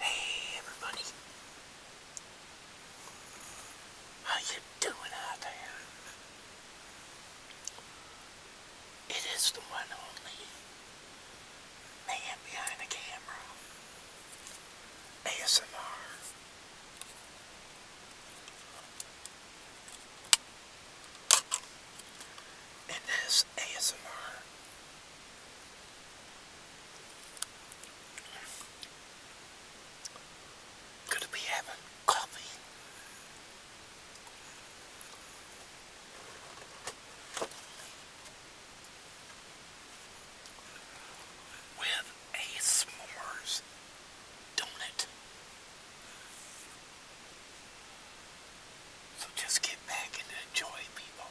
Hey everybody. How you doing out there? It is the one only man behind the camera. ASMR. In ASMR Gonna be having coffee. With a s'mores donut. So just get back and enjoy people.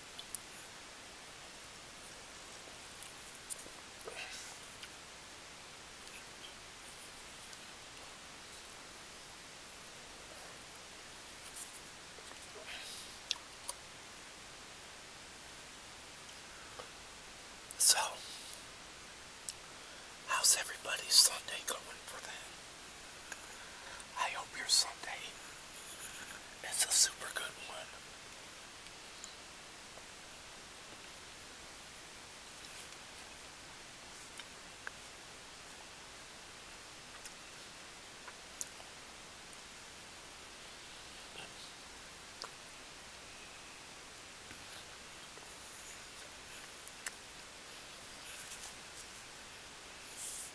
So, how's everybody's Sunday going for them? I hope your Sunday it's a super good one.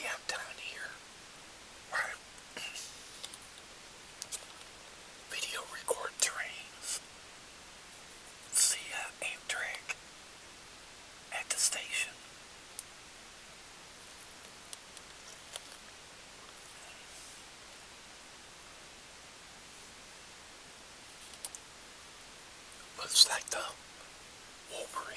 Yeah, I'm down here. Alright. Video record terrain. See ya, Amtrak at the station. Looks like the Wolverine.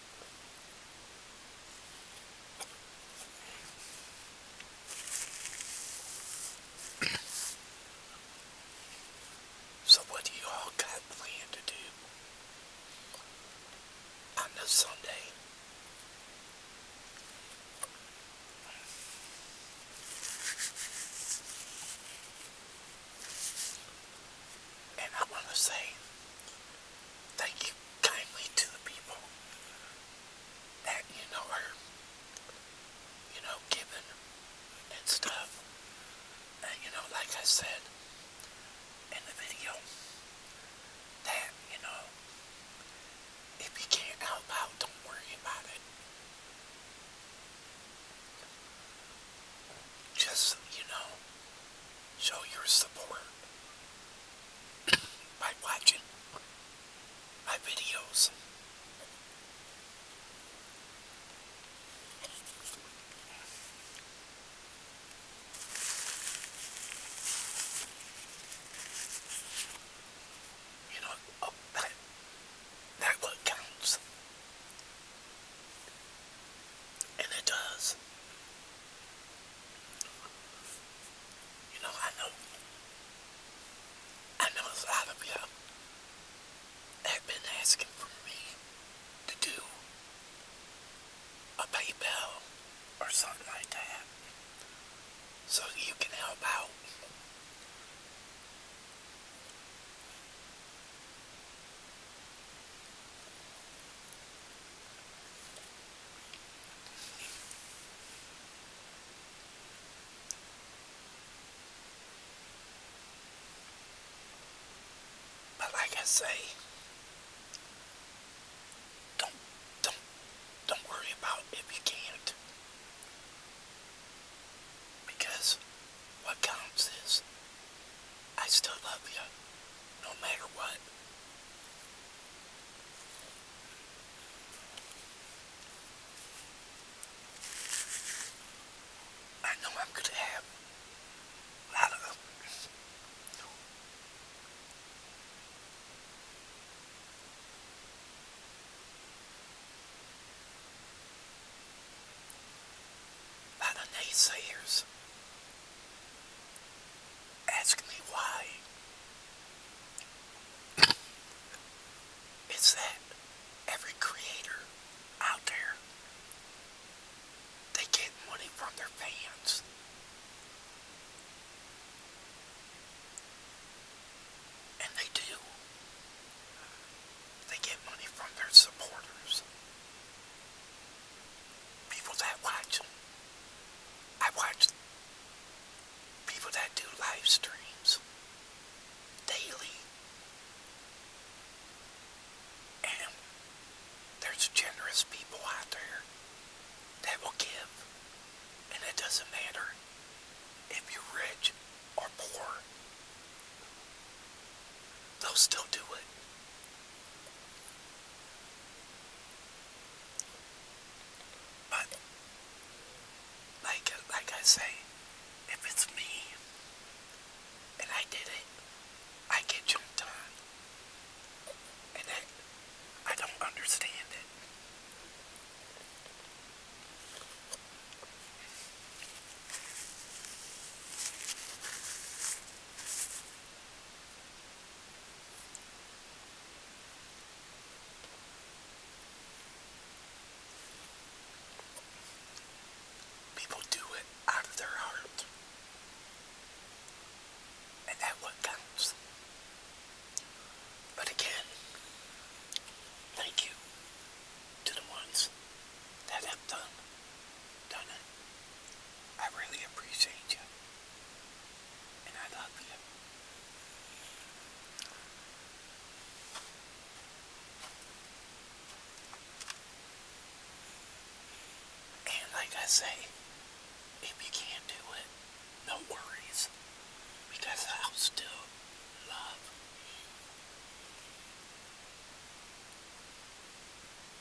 So what do you all got planned to do on the Sunday? And I want to say Thank you kindly to the people that, you know, are, you know, giving and stuff. And, you know, like I said in the video, that, you know, if you can't help out, don't worry about it just, you know, show your support by watching my videos. You know, that, that what counts. And it does. You know, I know, I know a lot of you have been asking for me to do a PayPal or something like that so you can help out. But like I say, don't don't don't worry about if can't. Because what counts is I still love you, no matter what. I know I'm going to have a lot of lot of naysayers Ask me why. It's that every creator out there, they get money from their fans. And they do. They get money from their supporters people that watch, I watch people that do live streams daily. And there's generous people out there that will give. And it doesn't matter if you're rich or poor. They'll still do it. But like like I say, if it's me and I did it, I get jumped on. And that I don't understand it. People do it out of their heart. And that what But again, thank you to the ones that have done done it. I really appreciate you. And I love you. And like I say, if you can't do it, no worries. Because I'll still love you.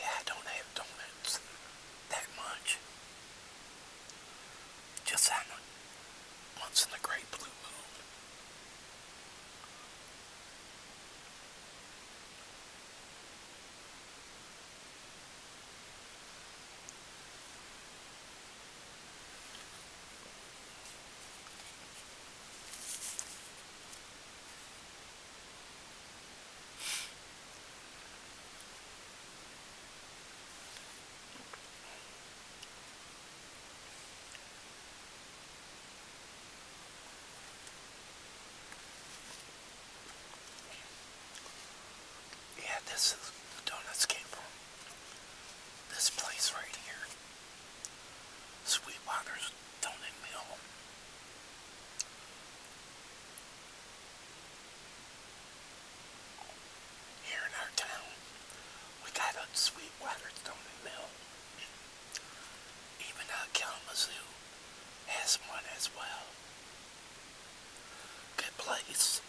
Yeah, I don't have donuts that much. Just on a, once in a great blue yeah, this is the donuts came this place right here. Sweetwater's Toning Mill. Here in our town, we got a Sweetwater's Toning Mill. Even uh, Kalamazoo has one as well. Good place.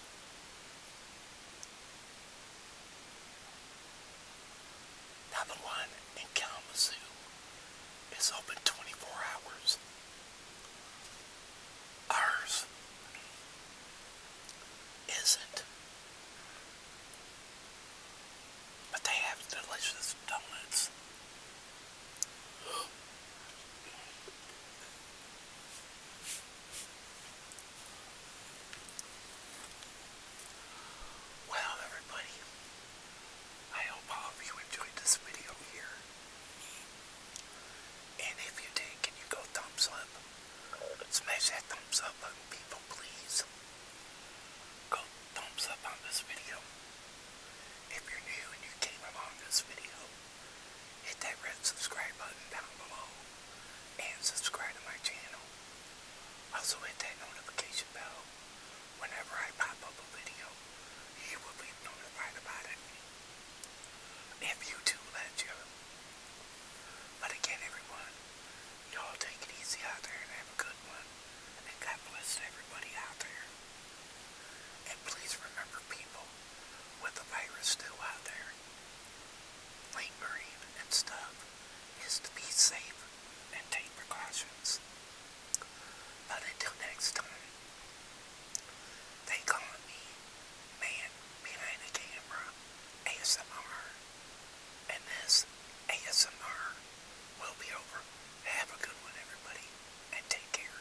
Now one in Kalamazoo is open 24 hours. Ours isn't. But they have delicious donuts. Well, everybody, I hope all of you enjoyed this video here. And if you did, can you go thumbs up? Smash that thumbs up button, people, please. Go thumbs up on this video. If you're new and you came along this video, hit that red subscribe button down below and subscribe to my channel. Also hit that notification bell. Whenever I pop up a video, you will be notified about it. If YouTube lets you. But again, everyone, y'all take it easy out there and have a good one. And God bless everybody out there. And please remember people with the virus still out there. Lingering and stuff is to be safe and take precautions. But until next time, they calling me Man Behind the Camera ASMR. And this ASMR will be over. Have a good one, everybody, and take care.